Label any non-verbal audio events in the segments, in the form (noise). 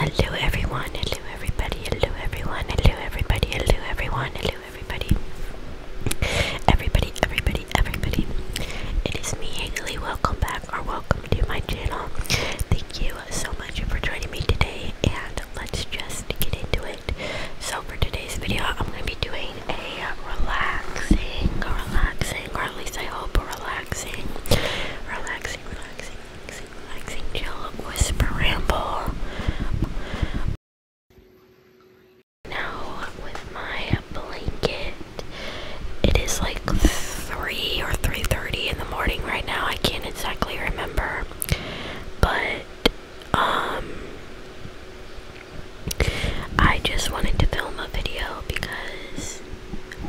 Hello everyone, hello everybody, hello everyone, hello everybody, hello everyone, hello everybody. Everybody, everybody, everybody. It is me, Haley. Welcome back or welcome to my channel. Thank you so much for joining me today and let's just get into it. So for today's video, I'm going to be doing a relaxing, relaxing, or at least I hope relaxing, relaxing, relaxing, relaxing, relaxing, chill, whisper, ramble. Now with my blanket, it is like three or three thirty in the morning right now. I can't exactly remember, but um, I just wanted to film a video because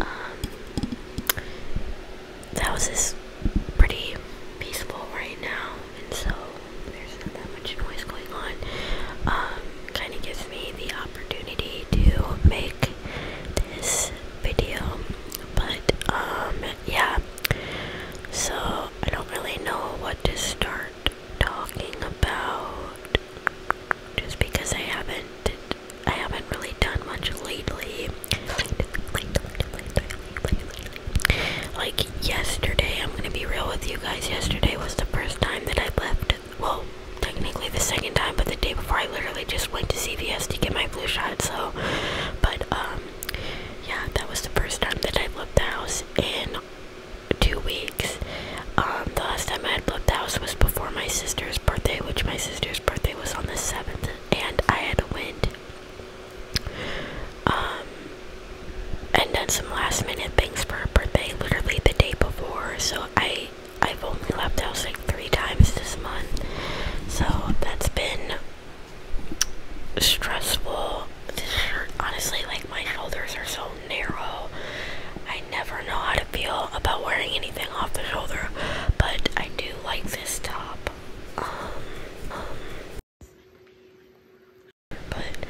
um, the house is pretty peaceful right now, and so there's not that much noise going on. Um, kind of gives me the opportunity to make this video, but um, yeah. So I don't really know what to start talking about, just because I haven't I haven't really done much lately. Like yesterday, I'm gonna be real with you guys. Yesterday was the first time that I left. Well, technically the second time, but the day before, I literally just went to CVS to get my flu shot. So, but um, yeah, that was the first time that I left the house in two weeks. Um, the last time I had left the house was before my sister's birthday, which my sister's birthday it was on the 7th, and I had to win, Um, and done some last minute things for her birthday literally the day before, so I, I've only left house like three times this month. So that's been stressful. This shirt, honestly, like my shoulders are so narrow. I never know how to feel about wearing anything off the shoulder, but I do like this top. Um, um, but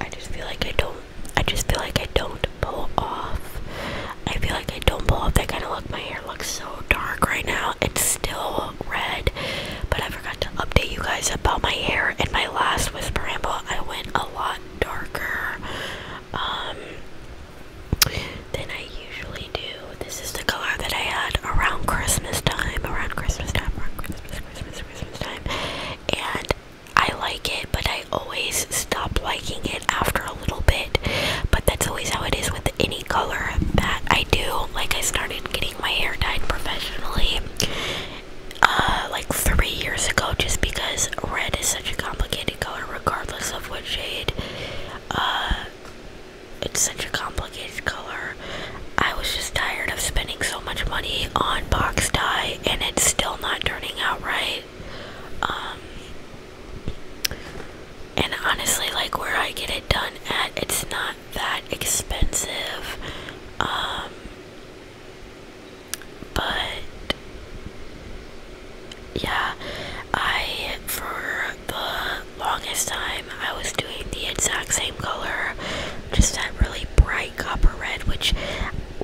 I just feel like I don't. I just feel like I don't pull off. I feel like I don't pull off that kind of look. My hair looks so dark right now. It's still red, but I forgot to update you guys about my hair in my last whisper ramble. I went a lot darker. Um, then I usually do. This is the color that I had around Christmas time, around Christmas time, around Christmas, Christmas, Christmas time, and I like it, but I always stop liking it after a little bit. But that's always how it is with any color that I do. Like I started getting my hair dyed professionally. Uh, like three years ago, just because red is such a complicated color, regardless of what shade, uh, it's such a complicated color. I was just tired of spending so much money on box dye and it's still not turning out right. Um, and honestly, like where I get it done at, it's not that expensive. Um, but yeah, I for the longest time I was doing the exact same color, just that really bright copper red, which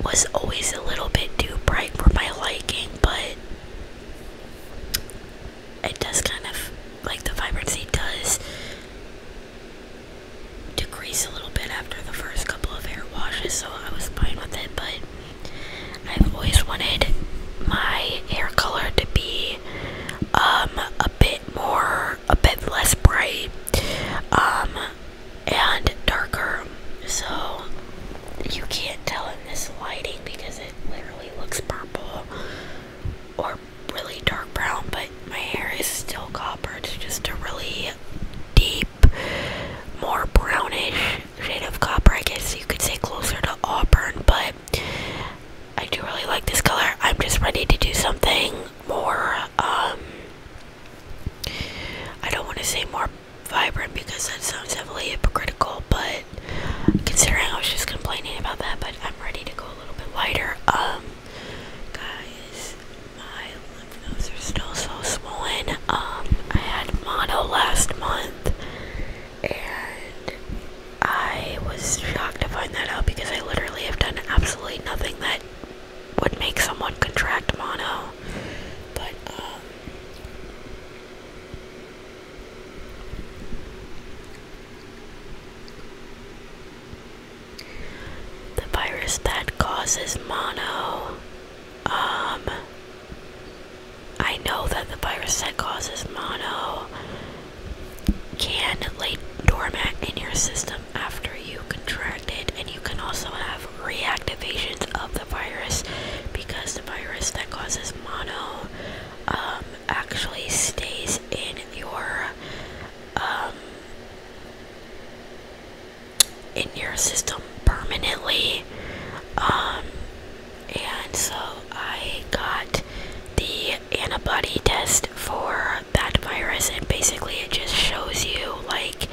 was always a little bit too bright for my liking, but it does kind of like the vibrancy does decrease a little bit after the first couple of hair washes, so I was fine with it, but I've always wanted my hair color to be um, a bit more a bit less bright um, and darker so you can't tell in this lighting because it literally looks purple or really dark brown but my hair is still copper it's just a really deep more brownish shade copper. I guess you could say closer to auburn, but I do really like this color. I'm just ready to do something more. Um, I don't want to say more vibrant because that sounds heavily hypocritical, but considering I was just complaining about that, but I'm ready to go a little bit lighter. Um, guys, my lymph nodes are still so swollen. Um, I had mono last month, and I was shocked to find that out because I literally have done absolutely nothing that would make someone contract mono. But, um, the virus that causes mono, um, I know that the virus that causes mono can lay dormant in your system after you contract it, and you can also have reactivations of the virus because the virus that causes mono um, actually stays in your um, in your system permanently. Um, and so I got the antibody test for that virus, and basically it just shows you like,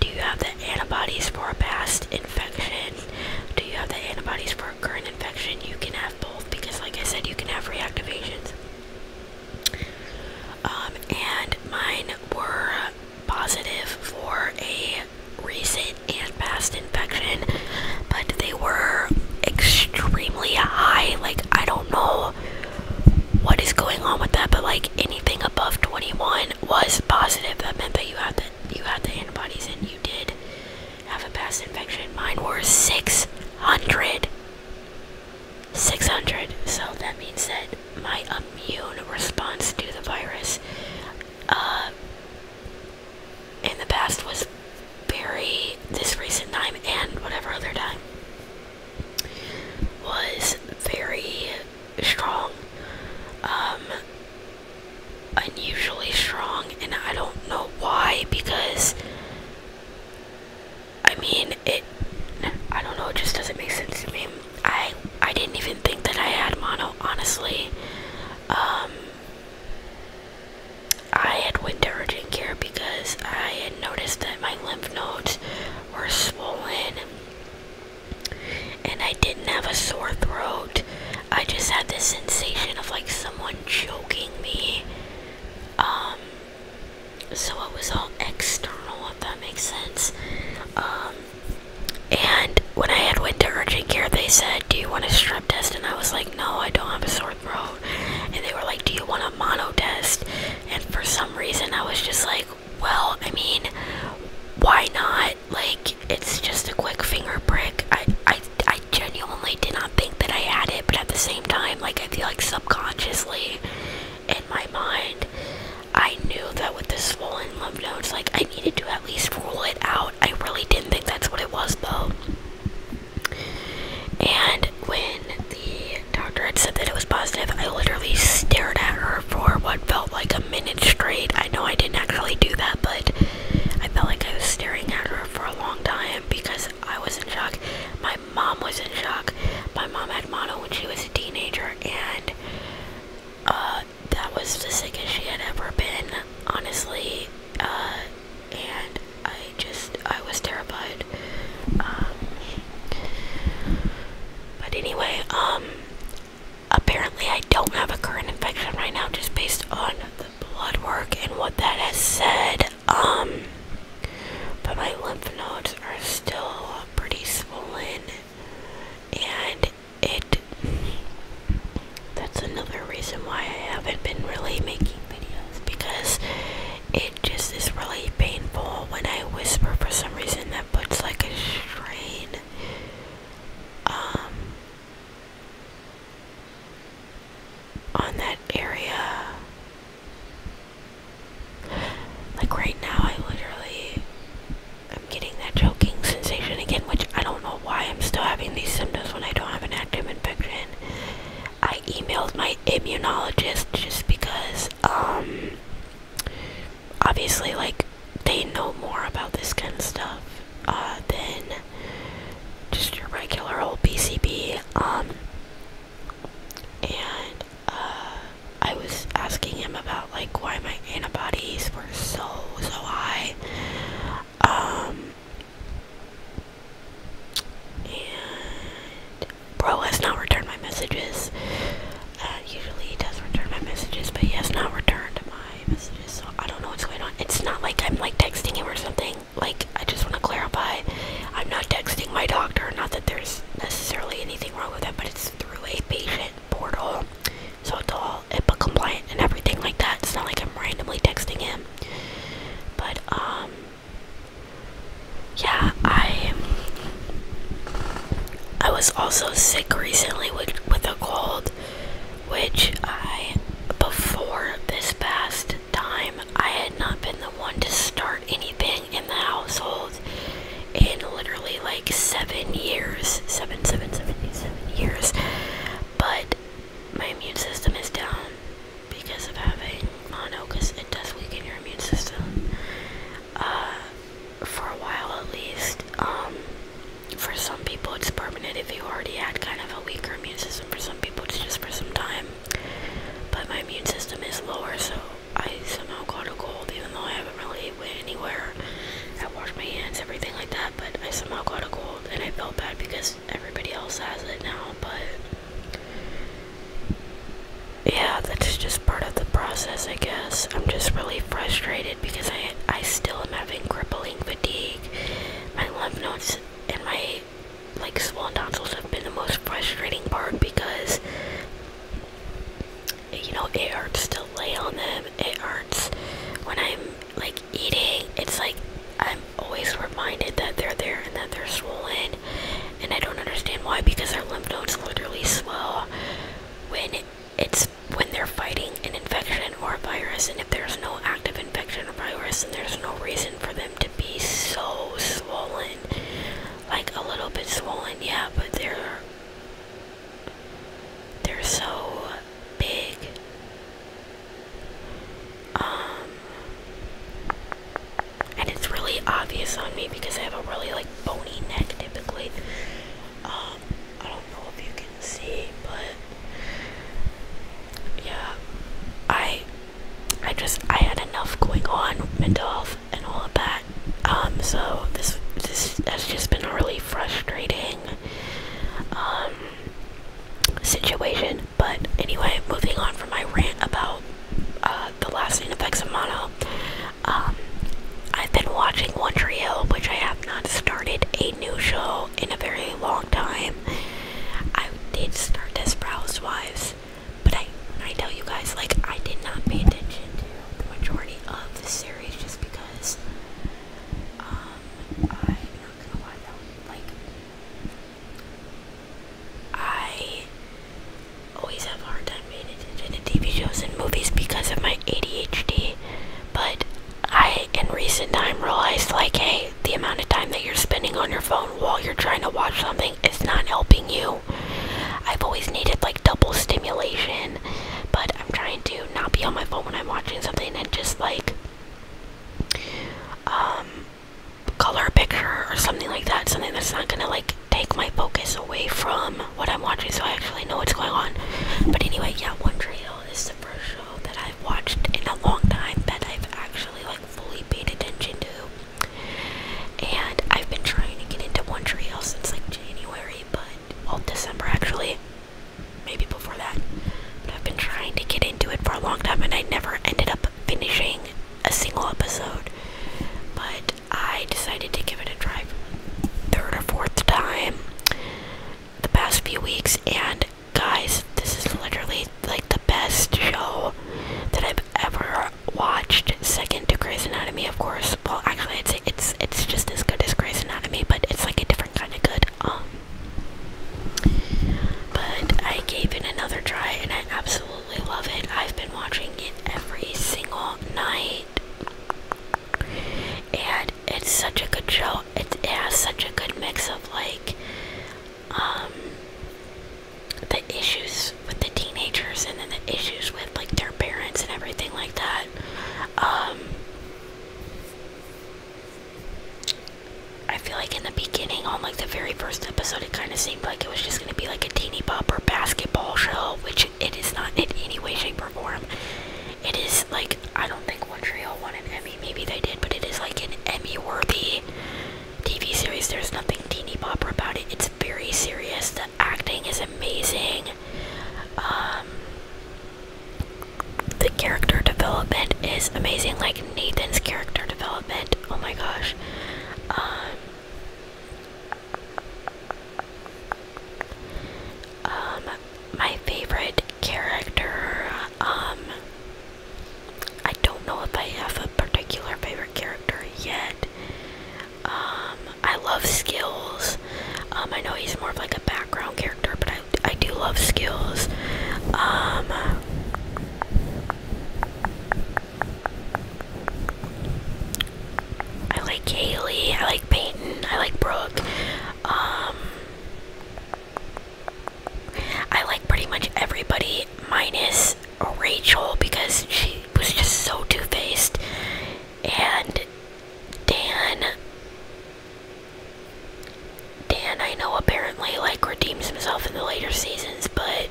do you have the antibodies for a past infection? Do you have the antibodies for a current infection? You can have both because, like I said, you can have reactivations. Um, and mine were positive for a recent and past infection, but they were extremely high. Like, I don't know what is going on with that, but like anything above 21 was positive. That meant that you had the, you had the antibodies and you did have a past infection. Mine were 600. 600. So that means that my immune response to the virus uh, in the past was very this recent time and whatever other time was very strong um unusually strong and I don't know why because I mean it I don't know it just doesn't make sense to me I I didn't even think that I had mono, honestly. Um, I had went to urgent care because I had noticed that my lymph nodes were swollen, and I didn't have a sore throat. I just had this sensation of like someone choking me. Um, so it was all external, if that makes sense. Um, and when I had went to urgent care, they said, "Do you want a strep test?" And I was like, "No, I don't have a sore throat." And they were like, "Do you want a mono test?" And for some reason, I was just like, "Well, I mean, why not? Like, it's just a quick finger prick." I I I genuinely did not think that I had it, but at the same time, like I feel like subconsciously in my mind, I knew that with the swollen lymph nodes, like I I needed to at least rule it out. I really didn't think that's what it was, though. And when the doctor had said that it was positive, I literally stared at her for what felt like a minute straight. I know I didn't actually do that, but I felt like I was staring at her for a long time because I was in shock. My mom was in shock. My mom had mono when she was a teenager, and uh, that was the sickest she had ever been, honestly. Uh, and I just, I was terrified. Um, but anyway, um, apparently I don't have a current infection right now just based on the blood work and what that has said. Um, but my lymph nodes are still pretty swollen and it that's another reason why I haven't been really making videos because it just is really painful when I whisper for some reason that puts like a strain um on that area. Like right now I literally I'm getting that choking sensation again, which I don't know why I'm still having these symptoms when I don't have an active infection. I emailed my immunologist just because, um, obviously, like, they know more about this kind of stuff uh, than just your regular old PCB. Um, and uh, I was asking him about like why my antibodies were so so high. Um and bro has not returned my messages. Uh, usually he does return my messages, but he has not returned my messages, so I don't know what's going on. It's not like I'm like texting him or something. Like I just want to clarify, I'm not texting my doctor. Not that there's necessarily anything wrong with that, but it's through a patient portal, so it's all all and everything like that. It's not like I'm randomly texting him. But, um, yeah, I, I was also sick recently with, with a cold, which I, before this past time, I had not been the one to start anything in the household in literally like seven years seven, seven, seven, seven years. But my immune system is down because of having mono, because it does weaken your immune system uh, for a while at least. Um, for some people, it's permanent if you already had kind of a weaker immune system. For some people, it's just for some time. But my immune system is lower, so I somehow caught a cold, even though I haven't really went anywhere. I washed my hands, everything like that, but I somehow caught a cold and I felt bad because everybody else has it now, but yeah, that's just part of the process, I guess. I'm just really frustrated because I I still am having crippling fatigue. My lymph notes and my like swollen tonsils have been the most frustrating part because you know, it hurts to lay on them. It hurts when I'm like eating. It's like I'm always reminded that they're there and that they're swollen. And I don't understand why because their lymph nodes literally swell when it's when they're fighting an infection or a virus. And if there's no active infection or virus, then there's no reason for them to be so swollen. Like a little bit swollen, yeah, but they're they're so big. Um and it's really obvious on me because I have a really like bony neck typically. Um I don't know if you can see but yeah I I just I had enough going on mental health and all of that um, so this this has just been a really frustrating um, situation. But anyway, moving on from my rant about uh, the last effects of mono. Um, I've been watching One Tree Hill, which I have not started a new show in a very long time. I did start Desperate Wives, but I, I tell you guys, like, I did not pay attention to the majority of the series just because um, I'm not gonna lie though, like, I always have a hard time paying attention to TV shows and movies because of my ADHD, but I, in recent time, realized, like, hey, the amount of time that you're spending on your phone while you're trying to watch something is not helping you. I've always needed, like, double stimulation, but I'm trying to not be on my phone when I'm watching something and just like um, color a picture or something like that, something that's not gonna like take my focus away from what I'm watching so I actually know what's going on. But anyway, yeah, One Wonder Hill is the first show that I've watched in a long time that I've actually like fully paid attention to. And I've been trying to get into Wonder Hill since like January, but well, December actually, maybe before that. I've been trying to get into it for a long time and I never ended up finishing a single episode. But I decided to give it a try third or fourth time the past few weeks and guys, this is literally like the best show that I've ever watched, second to Grey's Anatomy, of course. Well, actually, I'd say it's it's it's just as good as Grey's Anatomy, but it's like a different kind of good. Um, but I gave it another try, and I absolutely love it. I've been watching it every single night, and it's such a good show. It, has such a good mix of like um, the issues with the teenagers, and then the issues with like their parents and everything like that. Um, I feel like in the beginning, on like the very first episode, it kind of seemed like it was just gonna be like a teeny bopper basketball show, which it is not in any way, shape, or form. It is like I don't think Montreal won an Emmy, maybe they did, but it is like an Emmy-worthy TV series. There's nothing teeny bopper about it. It's very serious acting is amazing. Um, the character development is amazing. Like Nathan's character development. Oh my gosh. Um, um, my favorite character. Um, I don't know if I have a particular favorite character yet. Um, I love Skills. Um, I know he's more of like a background character, but I, I do love Skills. Um, I like Kaylee. I like Peyton. I like Brooke. Um, I like pretty much everybody minus Rachel because she was just so two-faced and Dan Dan I know apparently like redeems himself in the later seasons, but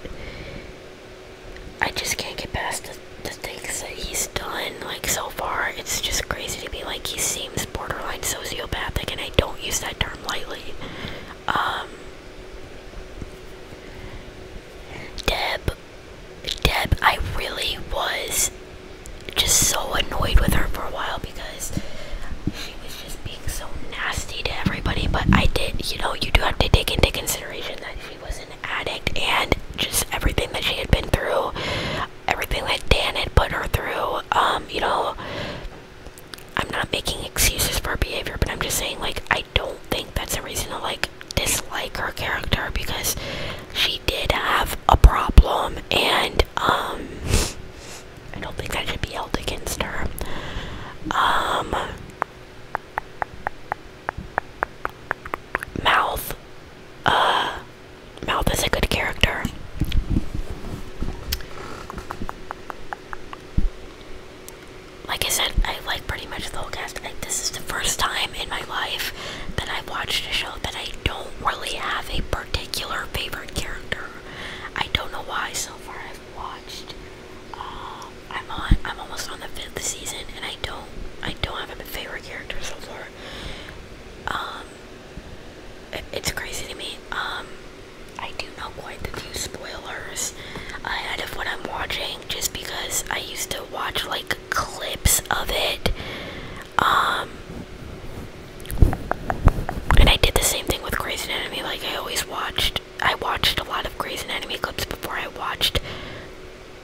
I just can't get past the, things that he's done like so far. It's just crazy to be like he seems borderline sociopathic and I don't use that term lightly. Um, Deb Deb, I really was just so annoyed with her for a while because she was just being so nasty to everybody. But I did, you know, you do have to take into consideration that she was an addict and just everything that she had been through, everything that Dan had put her through. Um, you know, I'm not making excuses for her behavior, but I'm just saying, like, I don't think that's a reason to, like, dislike her character because she did have a problem and um I don't think that should be held against her. Um Mouth uh, Mouth is a good character. Like I said, I like pretty much the whole cast. Like this is the first time in my life that I've watched a show that I don't really have a particular favorite character. I don't know why so far I've watched. Uh, I'm on. I'm almost on the fifth season, and I don't. I don't have a favorite character so far. Um, it's crazy to me. Um, I do know quite a few spoilers ahead of what I'm watching, just because I used to watch like clips of it. Um, and I did the same thing with *Crazy Enemy*. Like I always watched, I watched a lot of *Crazy Enemy* clips before I watched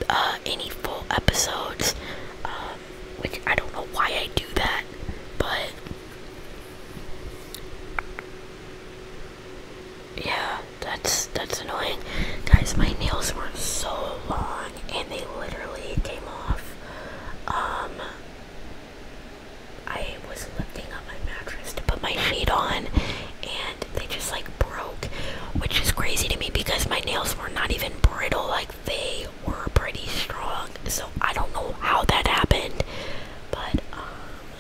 uh, any full episodes. which um, I don't know why I do that, but yeah, that's that's annoying, guys. My nails were so long and they literally came off. Um, I was lifting up my mattress to put my sheet on and they just like broke, which is crazy to me because my nails were not even brittle, like they were pretty strong. So I don't know how that happened, but um,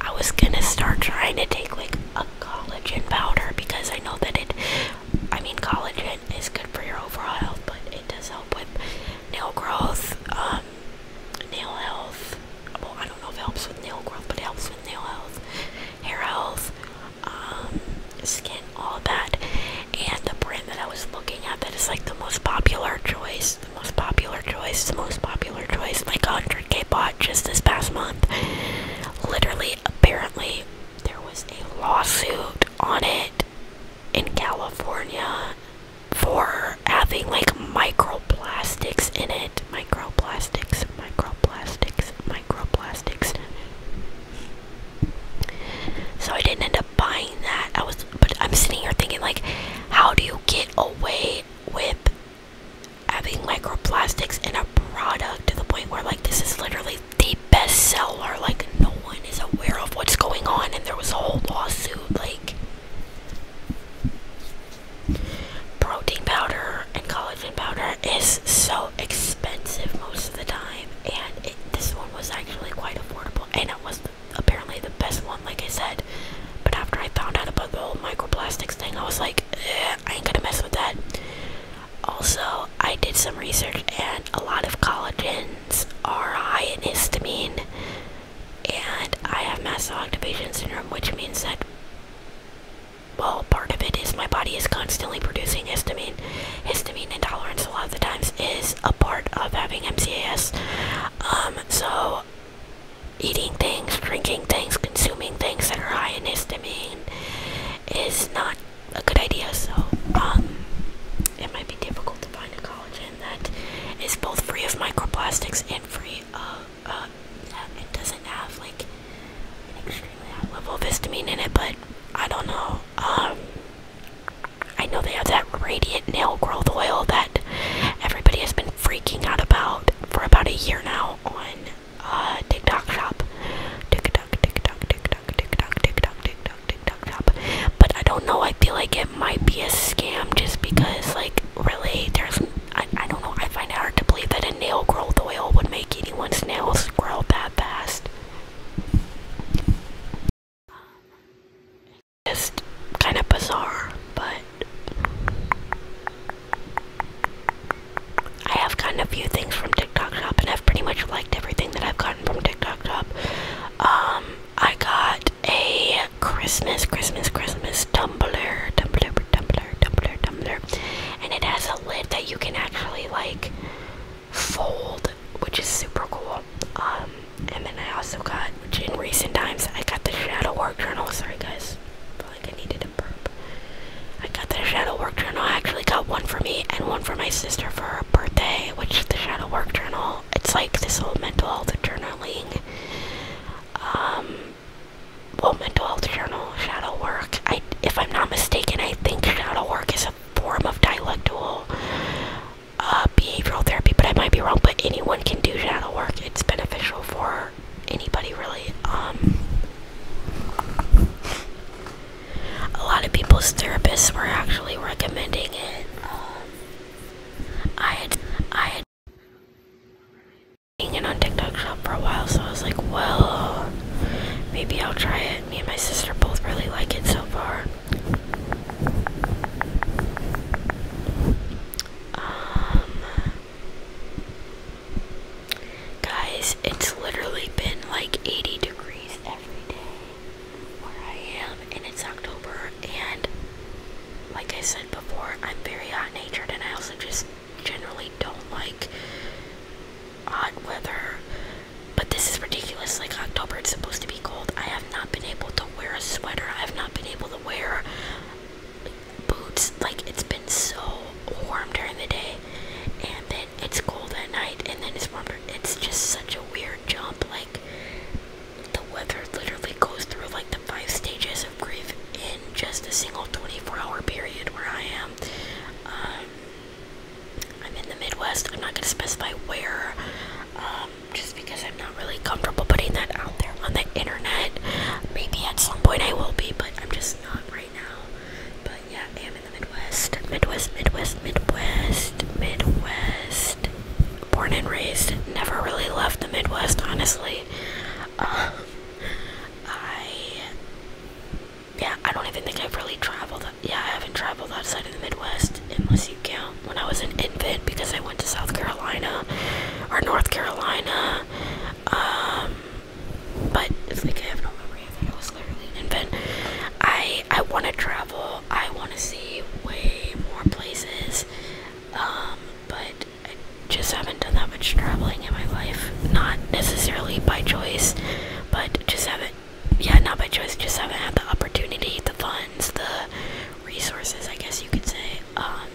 I was gonna start trying to take like a collagen powder because I know that it I mean, collagen is good for your overall health, but it does help with nail growth, um, nail health. Well, I don't know if it helps with nail growth, but it helps with nail health, hair health, um, skin, all of that. And the brand that I was looking at that is like the most popular choice, the most popular choice, the most popular choice, like 100k bought just this past month. Literally, apparently, there was a lawsuit on it in California for having like microplastics in it. Microplastics, microplastics, microplastics. So I didn't end up buying that. I was but I'm sitting here thinking like how do you get away with having microplastics in a product to the point where like this is literally the best seller like no one is aware of what's going on and there was a whole lawsuit like protein powder and collagen powder is so expensive most of the time and this one was actually quite affordable and it was apparently the best one like I said but after I found out about the whole microplastics thing I was like I ain't gonna mess with that. Also, I did some research and a lot of collagens are high in histamine and I have mast cell activation syndrome which means that well part of it is my body is constantly producing histamine. Histamine intolerance a lot of the times is a part of having MCAS. Um so eating things, drinking things, consuming things that are high in histamine pain is not a good idea. So um, it might be difficult to find a collagen that is both free of microplastics and free of uh, it doesn't have like an extremely high level of vitamin in it. But I don't know. Um, I know they have that radiant nail growth oil that everybody has been freaking out about for about a year now uh, TikTok shop. TikTok, TikTok, TikTok, TikTok, TikTok, TikTok, TikTok shop. But I don't know. I feel like it might be a scam just because, like, really, there's. I, I don't know. I find it hard to believe that a nail growth oil would make anyone's nails grow that fast. Just kind of bizarre, but I have gotten a few things from TikTok Shop, and I've pretty much liked everything that I've gotten from TikTok Shop. Um, I got a Christmas, Christmas, Christmas tumbler, tumbler, tumbler, tumbler, tumbler, and it has a lid that you can actually like fold, which is super cool. Um, and then I also got, which in recent times, I got the Shadow Work Journal. Sorry, guys like I needed a burp. I got the shadow work journal. I actually got one for me and one for my sister for her birthday, which the shadow work journal. It's like this whole mental health journaling. Um, well, mental health journal, shadow work. I, if I'm not mistaken, I think shadow work is a form of dialectical uh, behavioral therapy, but I might be wrong. But anyone can do shadow work. It's beneficial for anybody really. Um, a lot of people's therapists were actually recommending it. Um, I had I had been on TikTok shop for a while, so I was like, well, maybe I'll try it. Me and my sister both really like it so far. Um, Guys, it's literally been like 80 degrees every day where I am, and it's October. And like I said before, I'm very hot natured, and I also just generally don't like hot weather. But this is ridiculous. Like, October, it's supposed to be cold. I have not been able to wear a sweater, I have not been able to wear boots like it's been so warm during the day and then it's cold at night and then it's warm it's just such a weird jump like the weather literally goes through like the five stages of grief in just a single 24 hour period where I am um, I'm in the Midwest I'm not gonna specify where um, just because I'm not really comfortable putting that out there on the internet maybe at some point I will be but I'm just not right now. But yeah, I am in the Midwest. Midwest, Midwest, Midwest, Midwest. Born and raised. Never really left the Midwest, honestly. Uh, I. Yeah, I don't even think I've really traveled. Yeah, I haven't traveled outside of the Midwest, unless you count when I was an infant because I went to South Carolina or North Carolina. Um, but it's like I have no memory of it. I was literally an invent. I I want to travel. I want to see way more places. Um, but I just haven't done that much traveling in my life. Not necessarily by choice, but just haven't. Yeah, not by choice. Just haven't had the opportunity, the funds, the resources. I guess you could say. Um,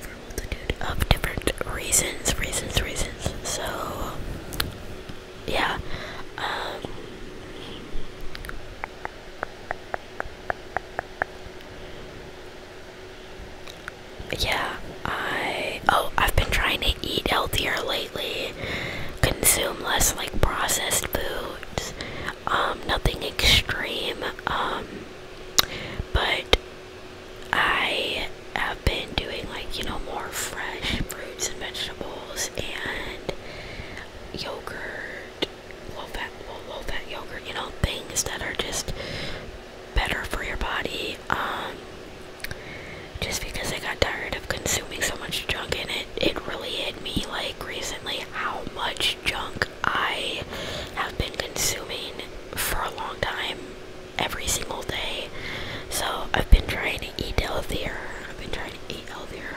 for multitude of different reasons, reasons, reasons. So, yeah. Um, yeah, I. Oh, I've been trying to eat healthier lately, consume less like processed foods, um, nothing extreme, um, but I have been doing like, you know, more fresh fruits and vegetables and yogurt, low fat, low, low fat yogurt, you know, things that are just better for your body. Um, just because I got tired of consuming so much junk and it, it really hit me like recently how much junk I have been consuming for a long time, every single day. So I've been trying to eat healthier. I've been trying to eat healthier.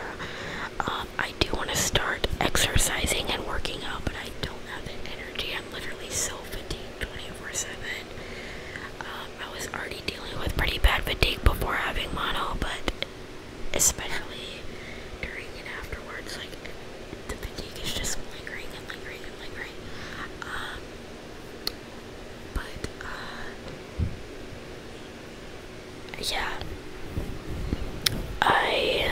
Um, I do want to start exercising and working out, but I don't have the energy. I'm literally so fatigued 24 7. Um, I was already dealing with pretty bad fatigue before having mono, but especially during and afterwards, like the fatigue is just lingering and lingering and lingering. Um, but, uh, yeah, I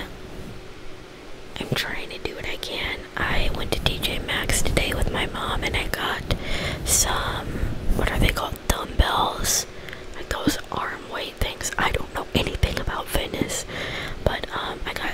am trying to do what I can. I went to TJ Maxx today with my mom and I got some, what are they called, dumbbells. Like those arm weight things. I don't know anything about fitness, but um, I got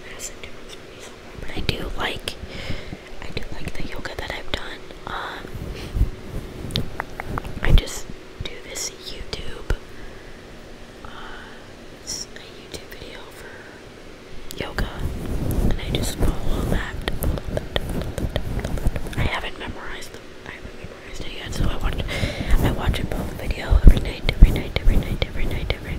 I do like I do like the yoga that I've done. Um, I just do this YouTube. Uh, a YouTube video for yoga, and I just follow that. I haven't memorized them. I haven't memorized it yet, so I watch. I watch a both video every night, every night, every night, every night, um,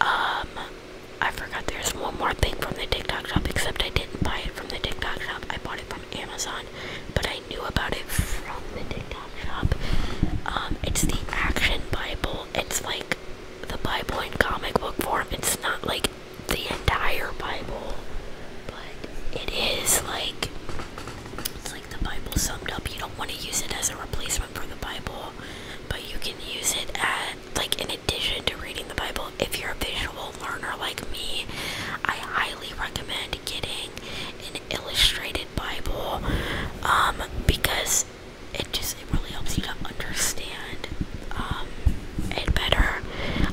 I forgot there's one more thing from the TikTok shop, except I didn't buy it from the TikTok shop. I bought it from Amazon, but I knew about it from the TikTok shop. Um, it's the Action Bible. It's like the Bible in comic book form. It's not like the entire Bible, but it's like the Bible summed up. You don't want to use it as a replacement for the Bible, but you can use it at like in addition to reading the Bible. If you're a visual learner like me, I highly recommend getting an illustrated Bible um, because it just it really helps you to understand um, it better.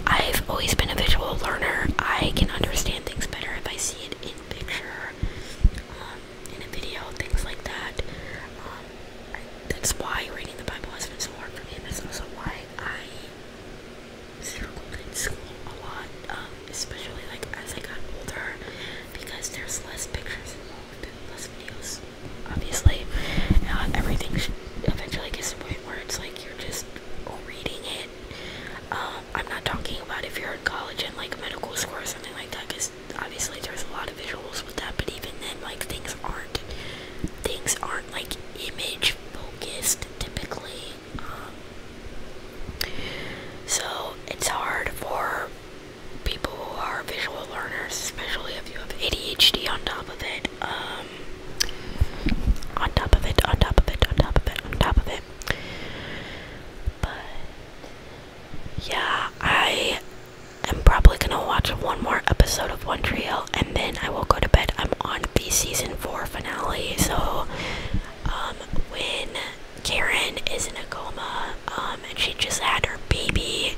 I've always been a visual learner. I can understand things better if I see it picture um, in a video, things like that. Um, that's why reading the Bible has been so hard for me, and that's also why I struggled in school a lot, um, especially like as I got older, because there's less pictures and less videos, obviously. Uh, everything should eventually gets to a point where it's like you're just reading it. Um, I'm not talking about if you're in college and like medical school or something like that, because obviously there's a lot of visuals with that. But even then, like things aren't things aren't like image focused typically. Um, so it's hard for people who are visual learners, especially if you have ADHD um, on top of it. on top of it, on top of it, on top of it, on top of it. But yeah, I am probably gonna watch one more episode of One Tree Hill, and then I will go to bed. I'm on the season four finale, so um, when Karen is in a coma, um, and she just had her baby,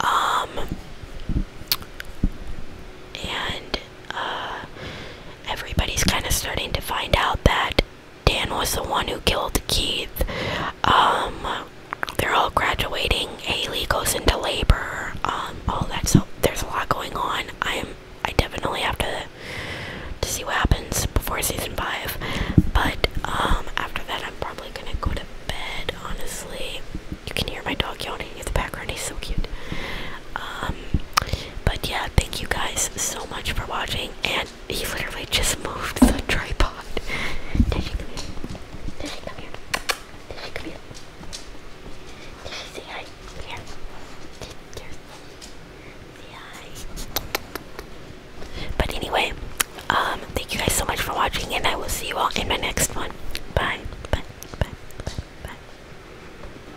um, and uh, everybody's kind of starting to find out that Dan was the one who killed Keith. Um, they're all graduating. Haley goes into labor. Um, all that. So there's a lot going on. I'm. I definitely have to to see what happens before season five. But um, after that, I'm probably gonna go to bed. Honestly, you can hear my dog yawning in the background. He's so cute. Um, but yeah, thank you guys so much for watching. And he literally just moved the tripod. (laughs) Did she come here? Did she come here? Did she say hi? Here. Did, say hi. But anyway, um, thank you guys so much for watching, and I will see you all in my next one. Bye. Bye. Bye. Bye. Bye.